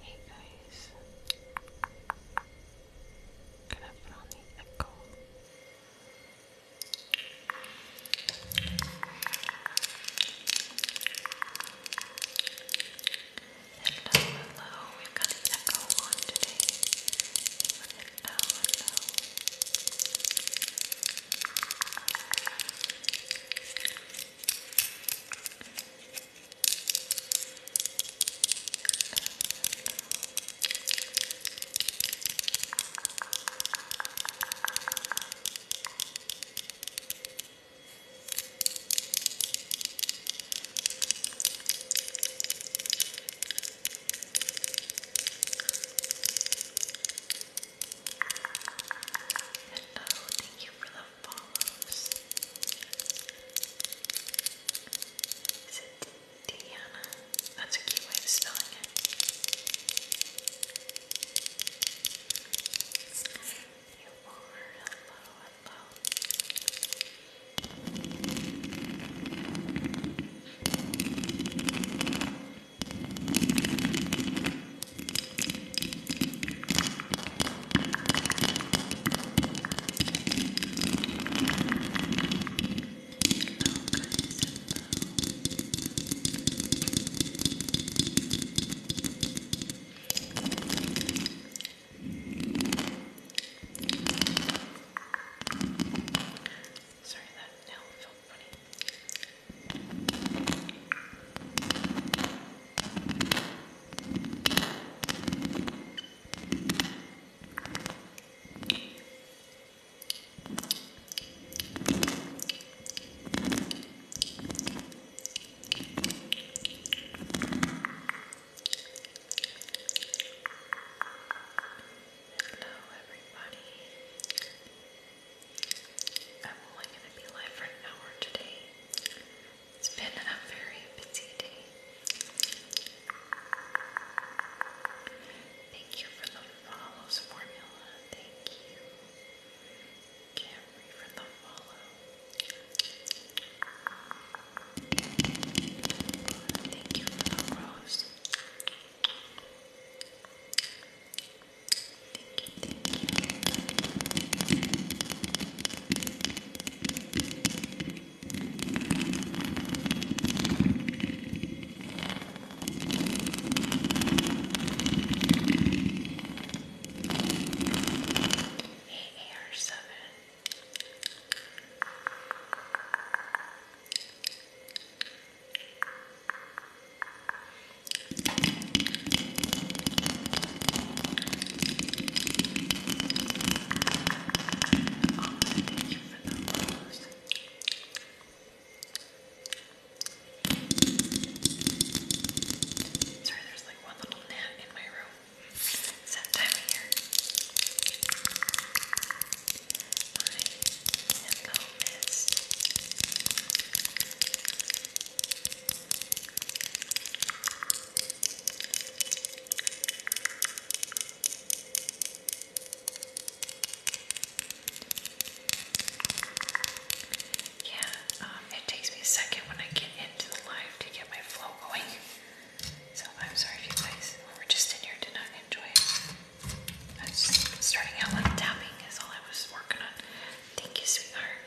Hey guys, gonna put on the echo. Hello, we've got an echo on today. hello. Oh, thank you for the follows. Is it Deanna? That's a cute way of spelling it. You are hello, Sorry, that now felt funny. Okay. Hello, everybody. I'm only going to be live for an hour today. It's been a very busy day. Thank you for the follows formula. Thank you. Camry for the follow. Thank you for the rose. AR seven. Thank you thank you for the rose. Sorry, there's like one little gnat in my room. It's that time of year. My pillow mist. It's yeah, um, it takes me a second when I get into the live to get my flow going. So I'm sorry if you guys were just in here did not enjoy starting out with tapping is all I was working on. Thank you, sweetheart.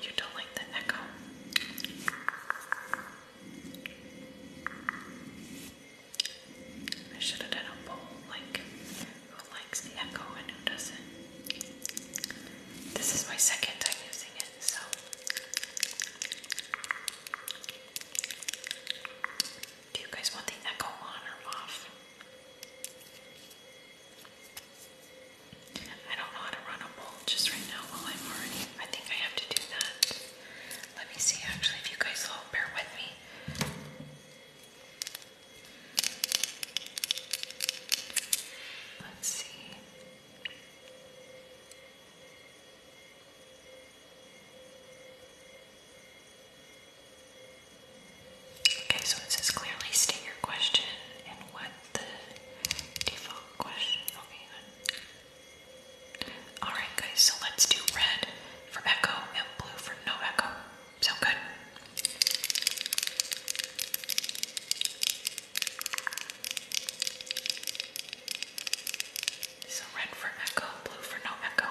You don't like the echo. I should have done a poll like who likes the echo and who doesn't. This is my second time using it, so do you guys want the echo on or off? I don't know how to run a poll just right now I'm already. I think I have to do that. Let me see actually if you guys will bear with me. Let's see. Okay, so it says clearly state your question and what the default question. Okay, Alright, guys, so let's do red for echo and blue for no echo. Sound good? So red for echo, blue for no echo.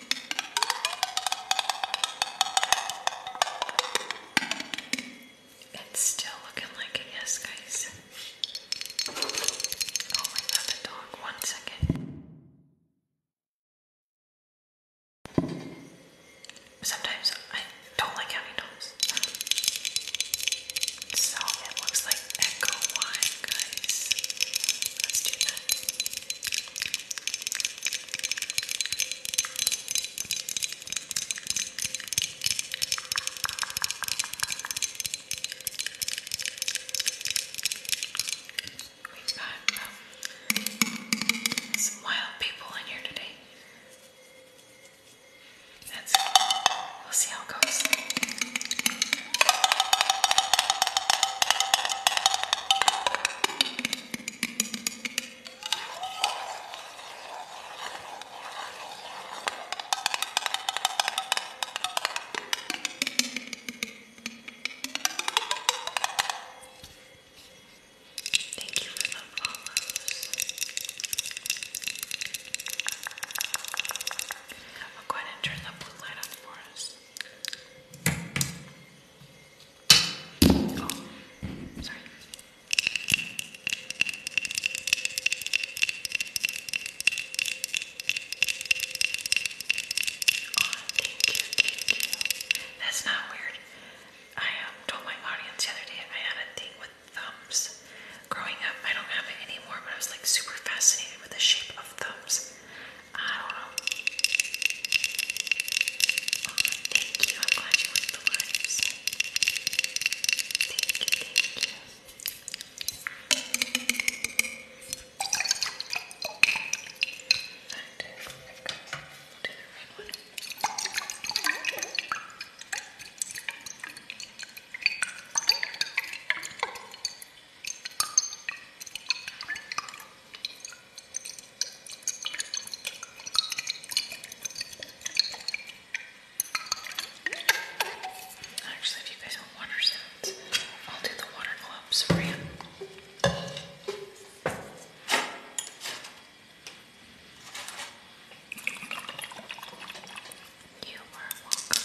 It's still looking like it is, guys. Oh, I got the dog. One second. Sometimes I don't like having dogs. So it looks like Echo Wine, guys. Let's do that. We've got um, some wild people in here today. That's it. We'll see how it goes. Thank you for the follows. I'll uh, go ahead and turn the blue light on for us. Oh, sorry. That's not weird. I um, told my audience the I had a thing with thumbs. Growing up, I don't have it anymore, but I was like super fascinated with the shape of thumbs. I don't know. thank you. I'm glad you went the lives. Thank you, thank you. And I've got Actually, if you guys want water sounds, I'll do the water gloves for you. You are welcome. You are welcome.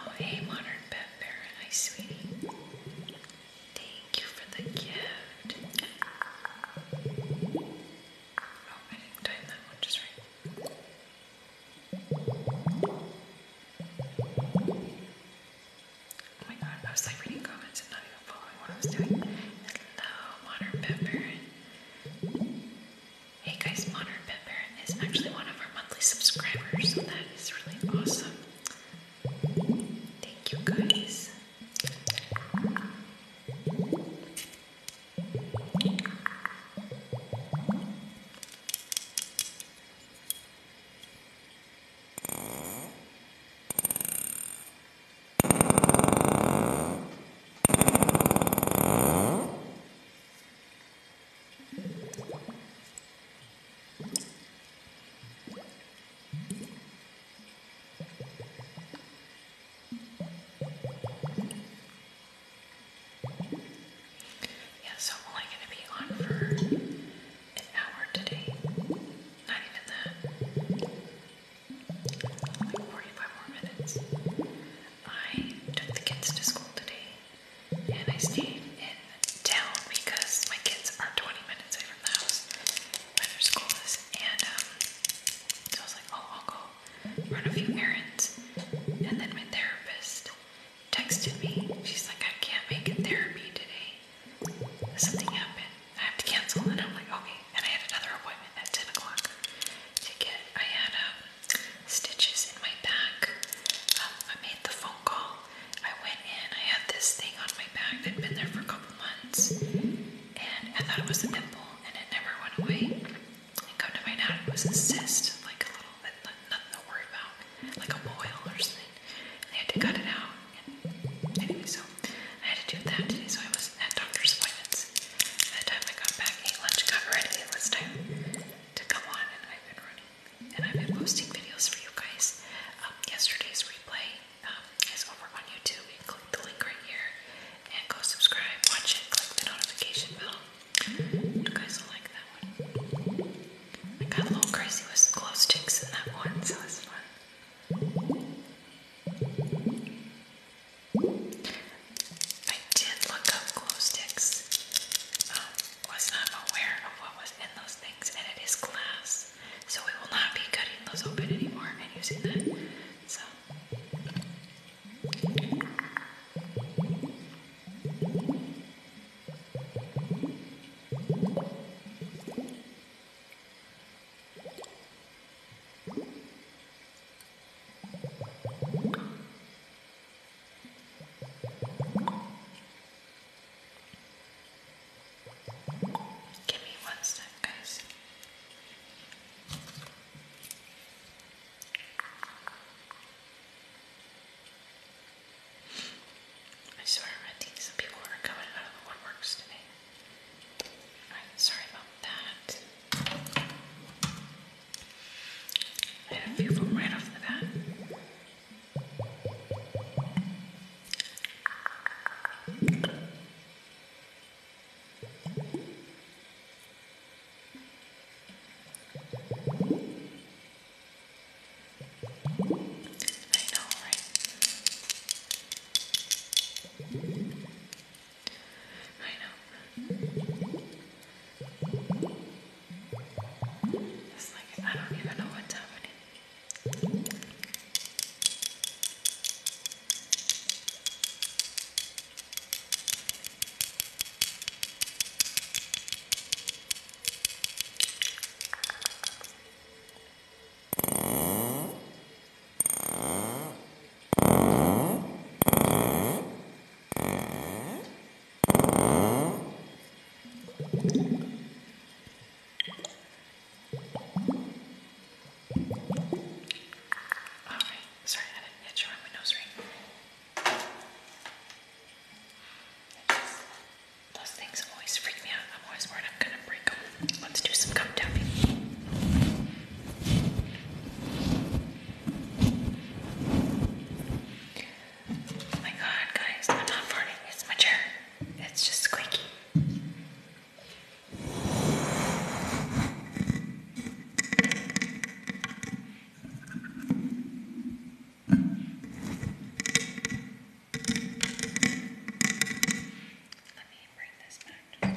Oh, hey, Modern Pet Parent. Hi, sweetie. Thank you for the gift. Oh, I did time that one just right. Oh my god, I was like reading comments and not following what I was doing. Hello, Modern Pepper. Hey guys, Modern Pepper is actually one of our monthly subscribers, so that is really awesome. Thank you guys. Yeah, so I'm only going to be on for an hour today. Not even that. 45 more minutes. I took the kids to school today and I stayed in town because my kids are 20 minutes away from the house where their school is. And um, so I was like, oh, I'll go run a few errands. And then my therapist texted me. She's like, I can't make it therapy today. Something happened. I have to cancel, and I'm like, okay. And I had another appointment at 10 o'clock to get, I had um, stitches in my back. Um, I made the phone call. I went in, I had this thing on my back that had been there for a couple months, and I thought it was a pimple, and it never went away. And come to find out, it was a cyst, like a little, nothing to worry about, like a boil or something. And they had to cut it out. And anyway, so I had to do that today, so I was not at doctor's appointments. By the time I got back, ate lunch, got ready, it was time to come on, and I've been running. And I've been posting videos for you guys. Um, yesterday's replay um, is over on YouTube. click the link right here and go subscribe, watch it, click the notification bell. You guys will like that one. I got a little crazy with some glow sticks in that one, so it's fun. I did look up glow sticks. Um, was not aware of what was in those things, and it is glass, so we will not be cutting those open anymore and using that. So. Give me one sec, guys. I swear, I think some people are coming out of the woodworks today. I'm sorry about that. I had a few of right off the bat. I know, right? I know. It's like I don't even know what's happening. Alright, sorry I didn't hit you on my nose ring. Just, those things always freak me out. I'm always worried I'm gonna break them. Let's do some gum tapping. Oh my god, guys, i not farting. It's my chair. It's just squeaky. Let me bring this back.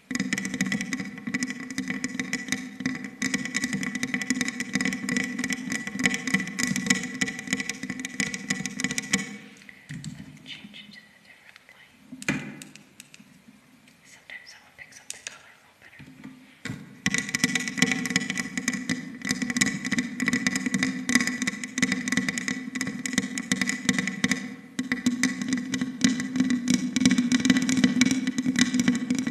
Let me change it to a different light. Sometimes someone picks up the color a little better. All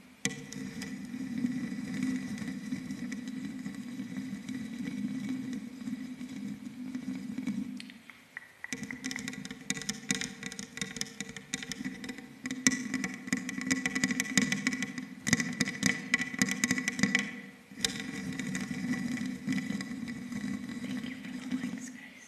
Thank you for the likes, guys.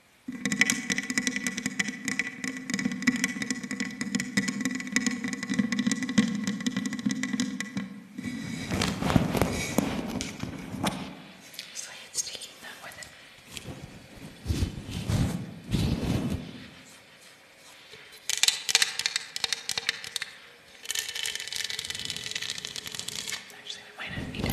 So it's taking that with it. Actually, we might not need it.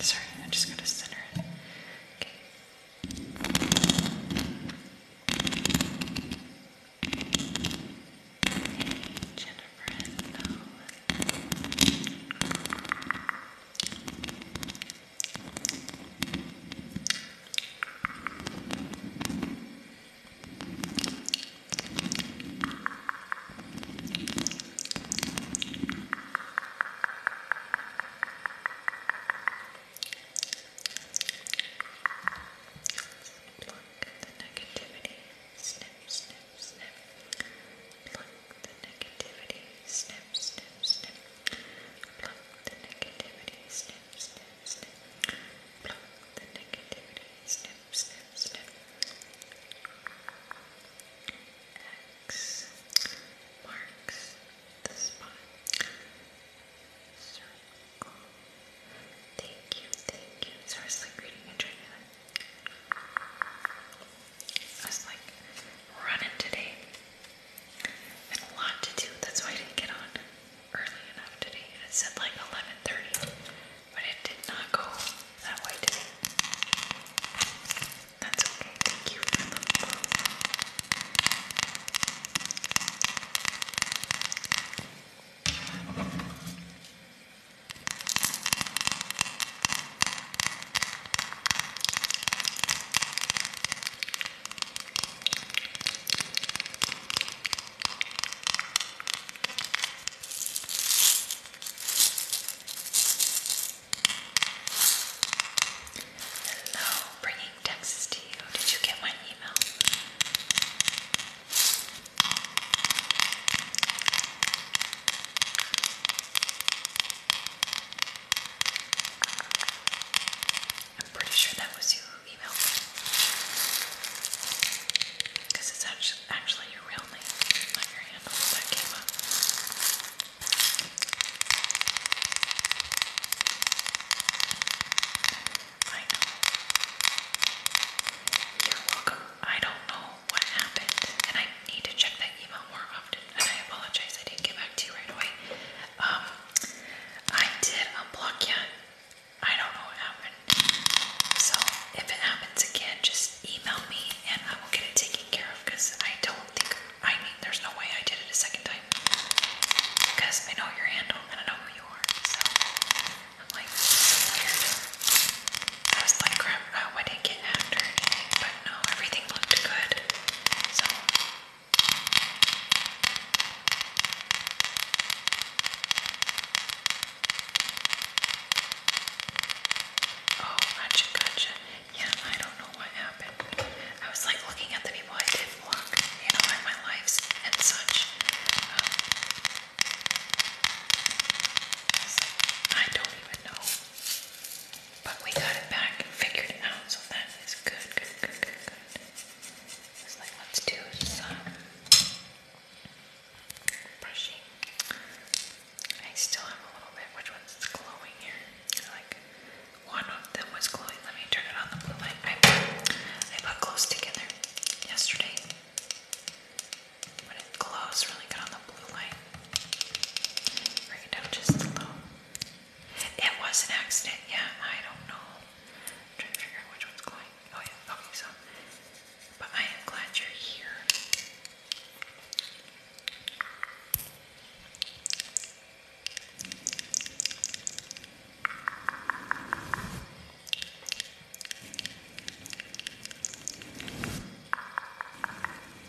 Sorry, I'm just going to center it. Okay. Jennifer, no. Pluck the negativity, snip, snip snip. Pluck the negativity, snip, snip, snip. Pluck the negativity, snip, snip, snip. Pluck the negativity, snip, snip, snip. X marks the spot. Circle. Thank you, thank you. Seriously, reading and trying I was like running today and a lot to do. That's why I didn't get on early enough today. it said like 11:30, but it did not go that way today. That's okay. Thank you for the love. Hello, bringing Texas to you. Did you get my email? I'm pretty sure that was you emailed me. Because it's actually, actually your real name, not your handle that came up. You're welcome. I don't know what happened, and I need to check that email more often. And I apologize, I didn't get back to you right away. Um, I did unblock yet. I don't know what happened. So if it happens again, just email me and I will get it taken care of. Because I don't think I mean there's no way I did it a second time. Because I know your handle and I know who you are. So I'm like, I was like, crap, would it get hacked anything? But no, everything looked good. So. Oh, gotcha, gotcha. Yeah, I don't know what happened. I was like looking at the people I did vlog, you know, in my lives and such. Um, I don't even know. But we got it back and figured it out, so that is good, It's like, let's do some brushing. I still have a little bit. Which one's glowing here? Like, one of them was glowing. Let me turn it on the blue light. I put, I together yesterday. But it glows really good on the blue light. Bring it just It was an accident, yeah. I don't know. trying to figure out which one's going. Oh yeah, okay, so but I am glad you're here.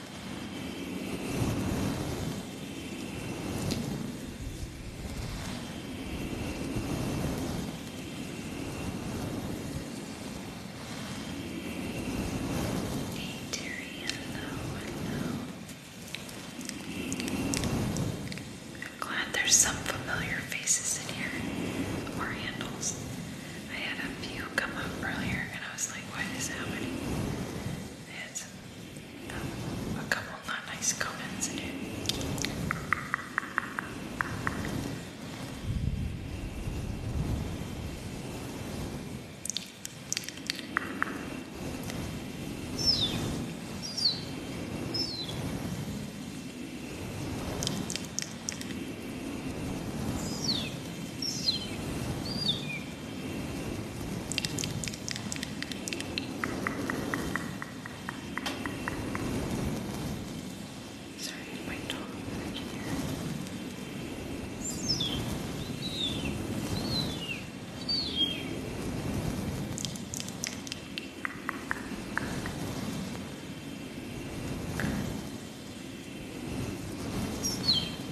Hey Terry, I'm glad there's some familiar faces in here, or handles. I had a few come up earlier and I was like, what is happening? I had a couple not nice comments in it. Thank Sorry, my dog back here.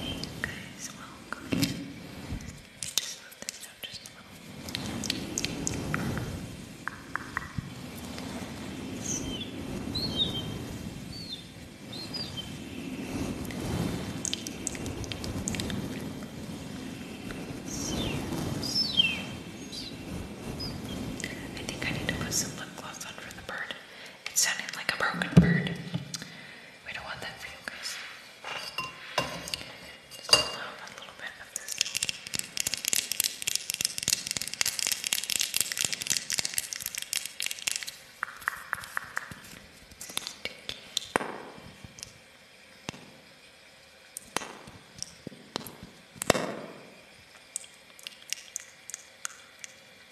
Hey guys, welcome. I just love this stuff just a little. I think I need to put some lip gloss on for the bird. It sounded like a broken bird. We don't want that for you guys. Just a little bit of this.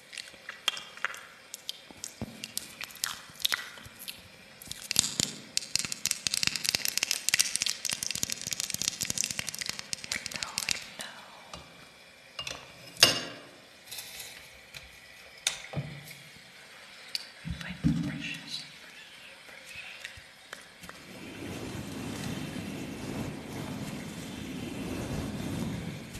No, no. My precious, precious.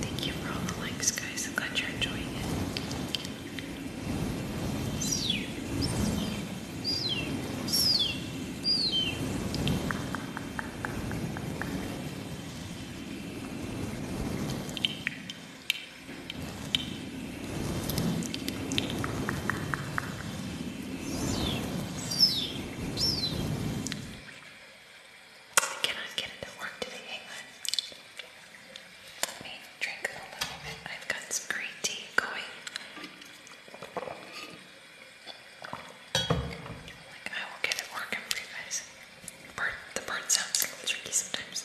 Thank you for all the likes, guys. I'm glad you're enjoying it. I cannot get it to work today, hang on. Let me drink a little bit. I've got some green tea going. Like I will get it working for you guys. Bird, the bird sounds a little tricky sometimes.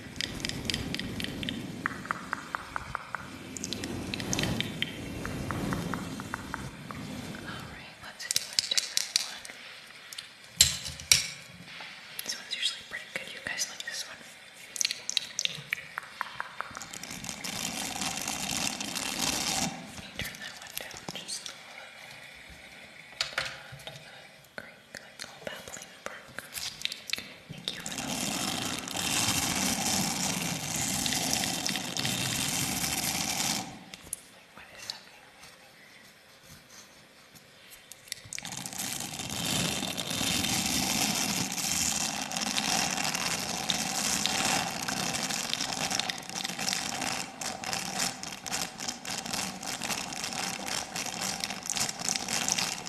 Alright, let's do a different one. This one's usually pretty good. You guys like this one? Let me turn that one down just a little bit. Turn that crinkling, all babbling brook. Thank you for the Wait, what is that mean? Thank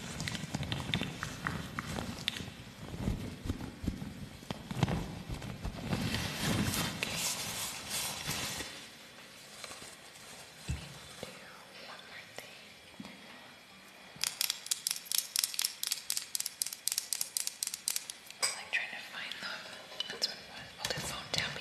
I'm like trying to find them. That's what it was. Hold the phone, tell me.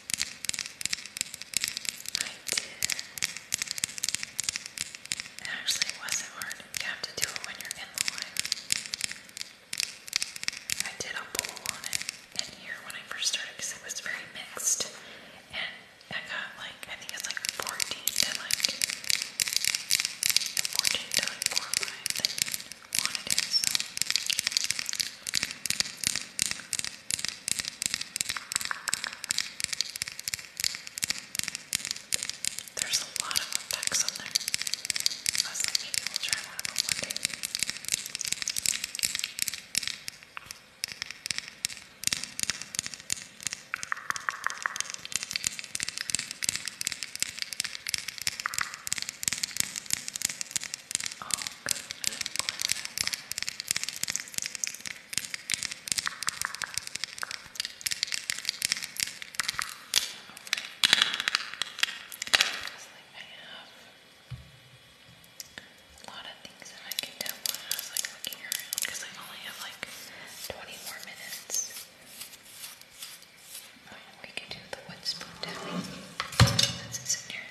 I did. It wasn't hard. You have to do it when you're in the line. I did a bowl on it in here when I first started because it was very mixed. And I got like, I think it's like 14 to like, 14 to 4 or 5 wanted it, so. There's a lot of effects on there. I was like, maybe we'll try one of them one day. Oh, like I have a lot of things that I can do when I was like looking around because I only have like 20 more minutes. Oh, we can do the wood spoon tapping. That's in here.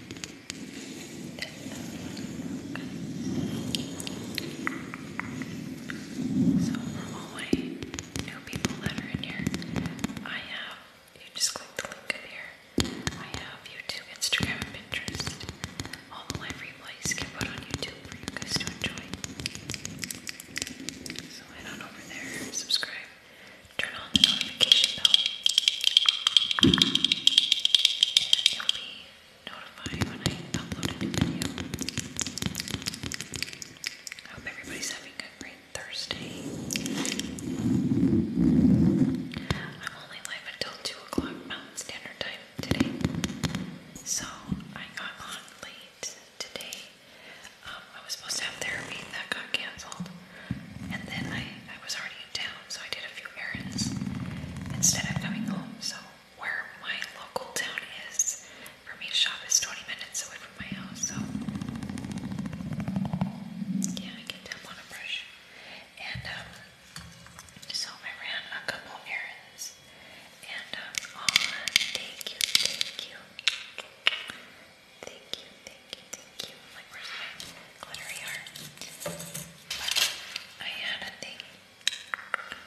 Okay. So for new people that are in here, I have you just click the link in here. I have YouTube, Instagram, Pinterest. All the live replays get put on YouTube for you guys to enjoy. So head on over there, subscribe turn on the notification bell, you'll be notified when I upload a new video. I hope everybody's having a great Thursday. I'm only live until 2 o'clock Mountain Standard Time today, so I got on late today. Um, I was supposed to have therapy that got canceled. And then I, I was already in town, so I did a few errands instead of coming home. So where my local town is, for me to shop is 20 minutes away from my house. So yeah, I get down on a brush. And um, so I ran a couple errands. And um, oh, thank you, thank you. Thank you, thank you, thank you. Like, where's my glittery art? I had a thing.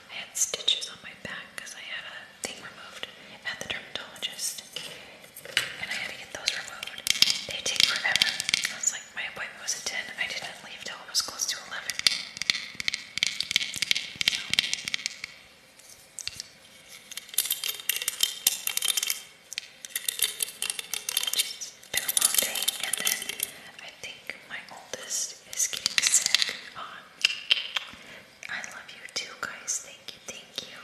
I had stitches on my back because I had a thing removed at the dermatologist. And I had to get those removed. They take forever. I was like, my appointment was at 10. I didn't leave till it was close to 11 been a long day, and then I think my oldest is getting sick. Um, I love you too, guys. Thank you, thank you.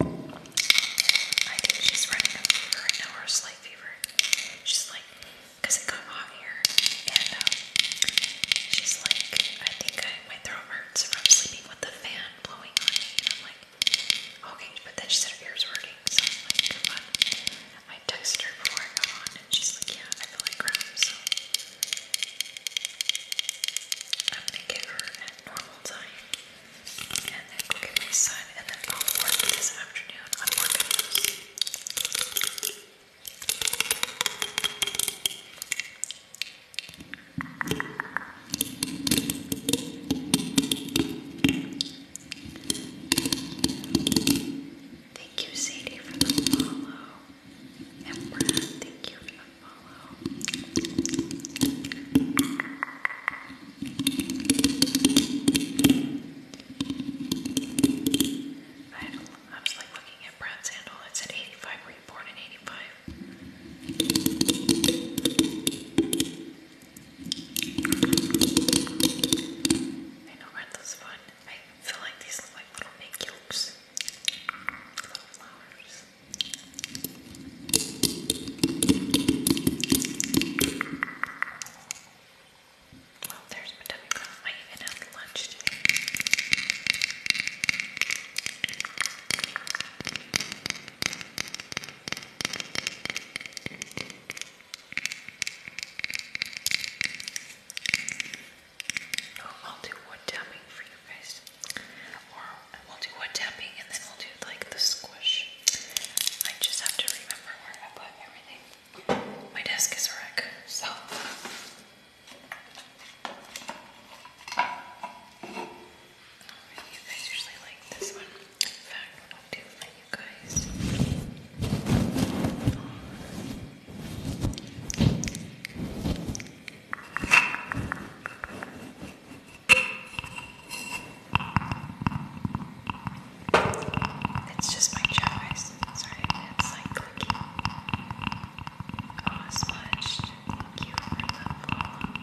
I think she's running a fever right now, or slight fever. She's like, because it got hot here, and um, she's like, I think I, my throat hurts from sleeping with the fan blowing I'm like, okay, but then she said her ears hurting, so I'm like, come on. I texted her before I got on, and she's like, yeah, I feel like crap, so I'm gonna get her at normal time, and then go get my son, and then I'll this afternoon on more videos. Thank you, Sadie, for the follow. And Brad, thank you for the follow. I, I was looking at Brad's handle. It said 85 you born I know red looks I feel like these look like little egg yolks. Well, there's my I even had lunch today. No, oh, I'll do wood tapping for you guys. Or we'll do wood tapping and then we'll do like the squish. I just have to remember where I put everything. My desk is a wreck, so you guys usually like this one. In fact, what I'll do for you guys. It's just my chest. Sorry, it's like clicky. Oh, smudged. Thank you for the follow.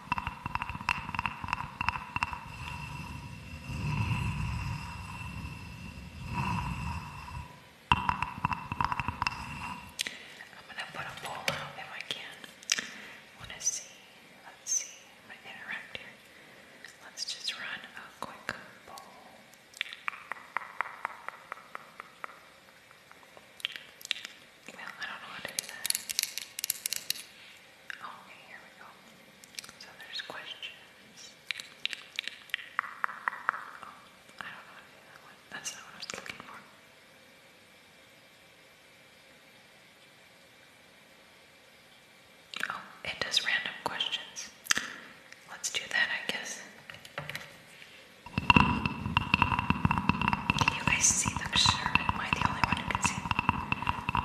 I'm gonna put a bowl out if I can. I wanna see, let's see, I'm gonna interact here. Let's just run a quick bowl. Well, I don't know how to do that. Okay, here we go. So there's questions. Oh, I don't know how to do That's not what I was looking for. Oh, it does random questions. Let's do that, I guess. Can you guys see the shirt? Am I the only one who can see?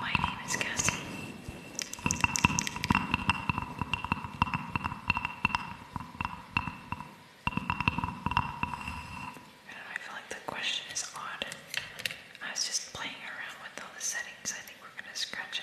My name is Cassie I feel like the question is odd. I was just playing around with all the settings. I think we're going to scratch it.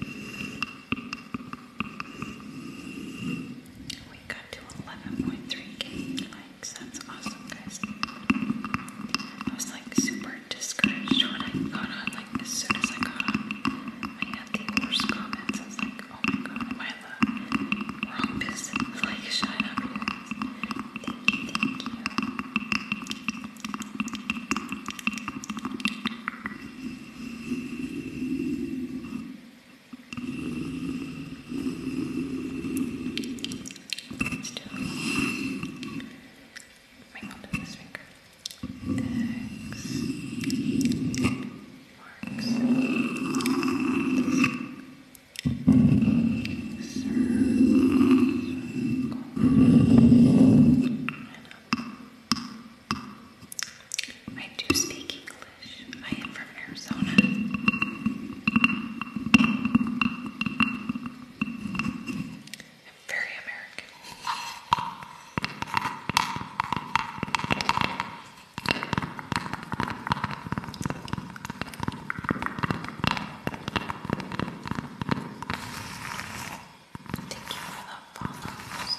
We got to 11.3k likes. That's awesome, guys. I was like super discouraged when I got on. Like as soon as I got on, I had the worst comments. I was like, oh my god, am I wrong business? Like, shut up, you guys. Thank you, thank you. Still. Ring onto this finger. X marks circle. And up I do speak English. I am from Arizona. I'm very American. Thank you for the follows.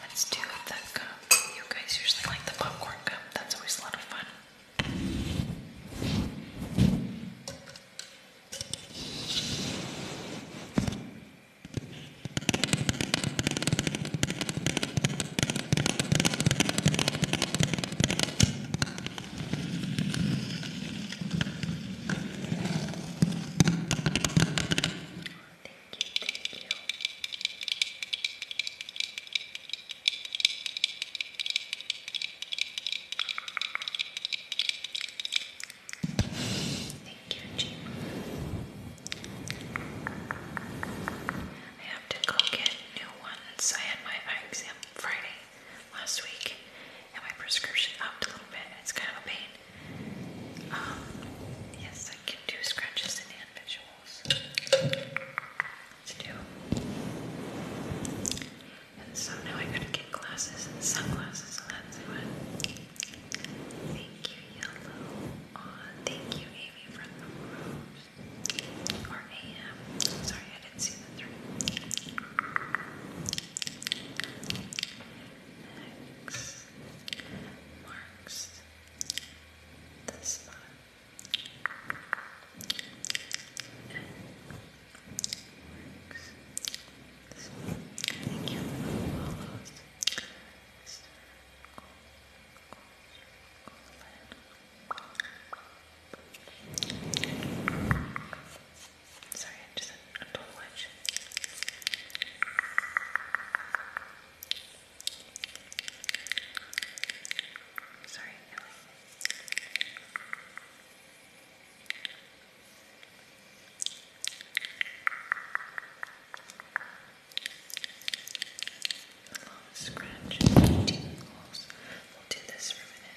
Let's do the gum. You guys usually like the popcorn gum. That's always a lot of fun thank you. Thank you, Jim. I have to go get new ones. I had my eye exam Friday last week, and my prescription upped a little bit. It's kind of a pain. Um, yes, I can do scratches and visuals. let do. And so now I gotta get glasses and sunglasses, and Thank you, Yellow. thank you, Amy, for the rose. Sorry, I didn't see the three marks the spot marks the spot. Thank you Sorry, I'm just a, a total Sorry, Ellie. A long scratch and tingles. We'll do this for a minute.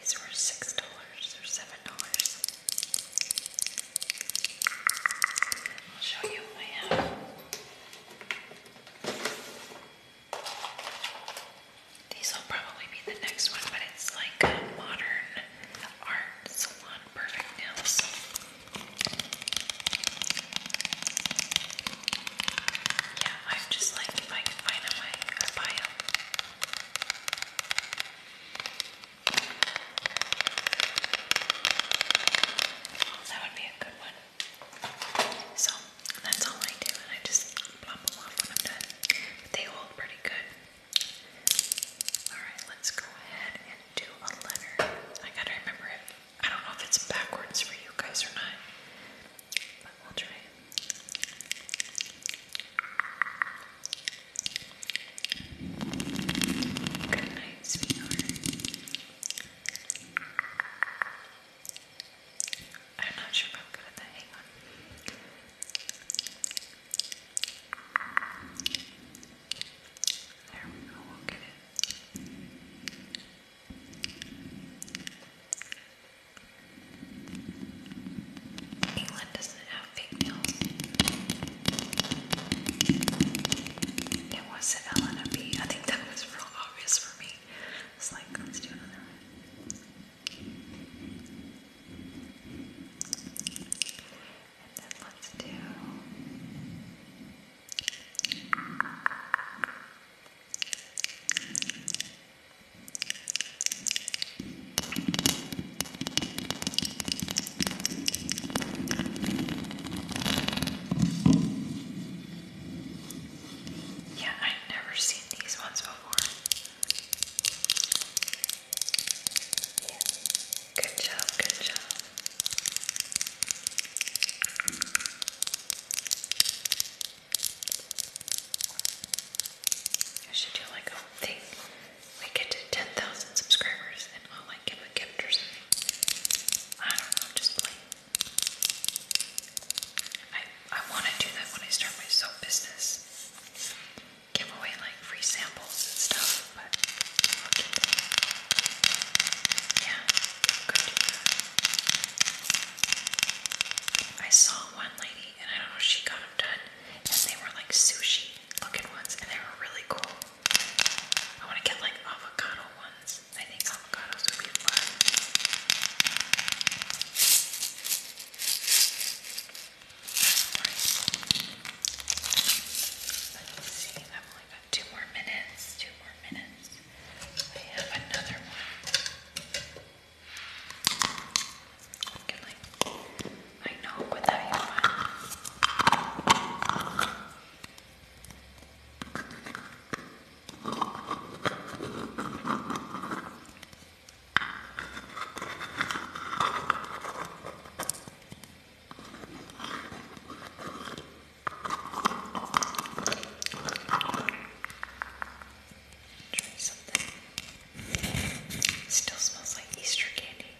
These were $6 or $7. I'll show you what I have. These will probably be the next one, but it's like modern art salon perfect nails. Yeah, i just like, if I can find them, I, I That would be a good one. So, that's all I do, and I just plop them off when I'm done. they hold pretty good. Alright, let's go ahead and do a letter. I gotta remember it. I don't know if it's backwards for you guys or not. But we Good night, sweetheart. I'm not sure I'm good at that. Hang on. There we go, we'll get it. England doesn't have pigtails. It was an L and a B. I think that was real obvious for me. It's like, let's do another one. And then let's do. Yeah, I've never seen these ones before. Yeah. Good job, good job. I should do like a thing. We get to 10,000 subscribers and I'll like give a gift or something. I don't know, just play. I, I want to do that when I start my soap business. Give away like free samples and stuff, but Yeah, good I saw one lady and I don't know, she got them done, and they were like sushi looking ones, and they were really cool. I want to get like avocado ones. I think avocados would be fun. Let's see, I've only got two more minutes. Two more minutes. I have another one. I can like, I know what that you want. Try something. Still smells like Easter candy.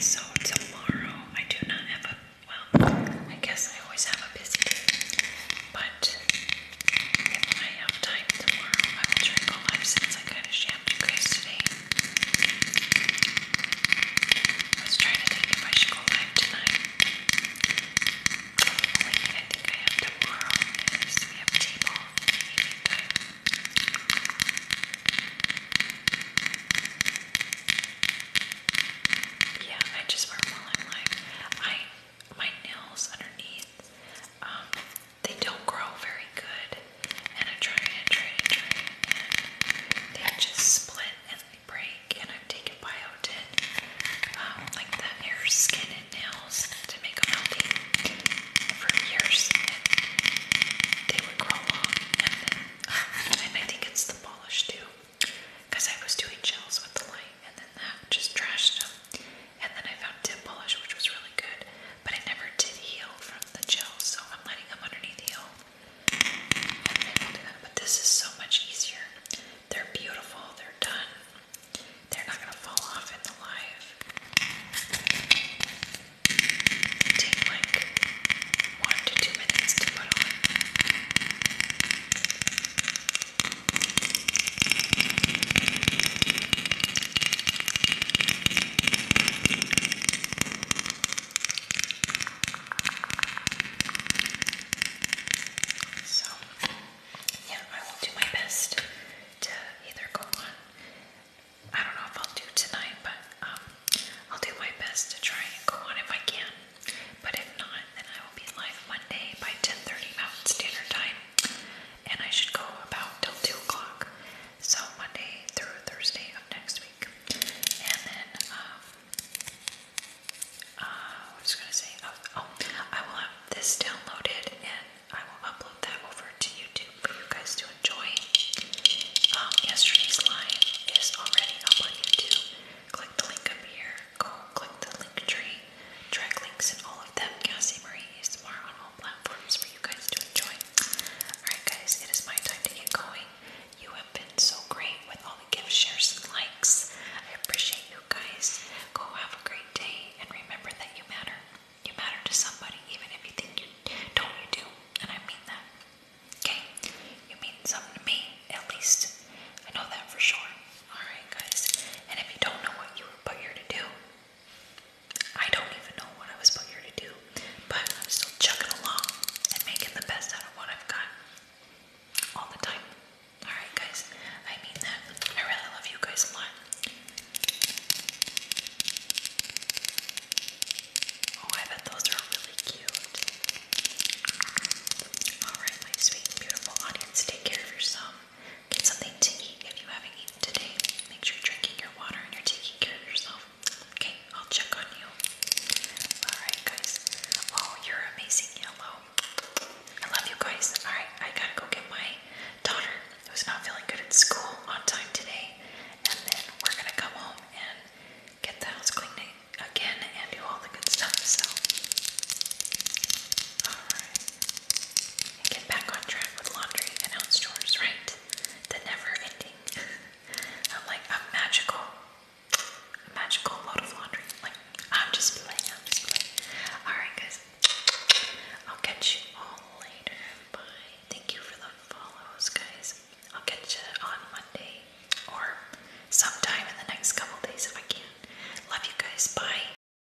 So tomorrow I do not have a well, I guess I always have a busy day. But I have time tomorrow, I will try to go live since I kind of shammed you guys today. I was trying to think if I should go live tonight. I think I have tomorrow Yeah, I just wear while I'm live. I my nails underneath, um, they don't grow very good. And I try and try and try and they just split and they break. And I've taken biotin, um, like the hair, skin, and nails to make them healthy for years. And they would grow long. And, then, uh, and I think it's the polish too. Because I was doing gels with the light and then that just trashed them. And then I found tip polish, which was really good, but it never did heal from the gel, so I'm letting them underneath heal. But this is so much easier. They're beautiful, they're done, they're not going to fall off in the live. take like one to two minutes to put on. So, yeah, I will do my best to either go on. I don't know if I'll do tonight, but um, I'll do my best to try and go on if I can. But if not, then I will be live Monday by 10:30 Mountain Standard Time and I should go about till 2 o'clock. So Monday through Thursday of next week. And then, um, uh, was going to say? Oh, oh, I will have this downloaded and I will upload that over to YouTube for you guys to enjoy. Um, yesterday's live is already up on YouTube. Click the link up here. Go click the link tree Direct links in all of them. Cassie Marie is tomorrow on all platforms for you guys to enjoy. Alright, guys, it is my time to get going. You have been so great with all the gift shares and likes. I appreciate you guys. Go have a great day and remember that you matter. You matter to somebody, even if you think you don't, you do. And I mean that. Okay? You mean something to me, at least. I know that for sure. Alright, guys. And if you don't know what you were put here to do, I don't even know what I was put here to do, but I'm still chugging along and making the best out of what I've got all the time. Alright, guys. I mean that. I really love you guys a lot. Oh, I bet those are really cute. Alright, my sweet beautiful audience, take care of yourself. Get something to eat if you haven't eaten today. Make sure you're drinking your water and you're taking care of yourself. Okay, I'll check on you. Alright, guys. Oh, you're amazing, Yellow. I love you guys. Alright, I gotta go get my daughter who's not feeling good at school on time today. And then we're gonna come home and get the house cleaned again and do all the good stuff. So, alright get back on track with laundry and house chores, right? The never ending. I'm like a magical, magical load of laundry. Like, I'm just playing. Alright, guys, I'll catch you all later. Bye. Thank you for the follows, guys. I'll catch you on Monday or sometime in the next couple days if I can. Love you guys. Bye.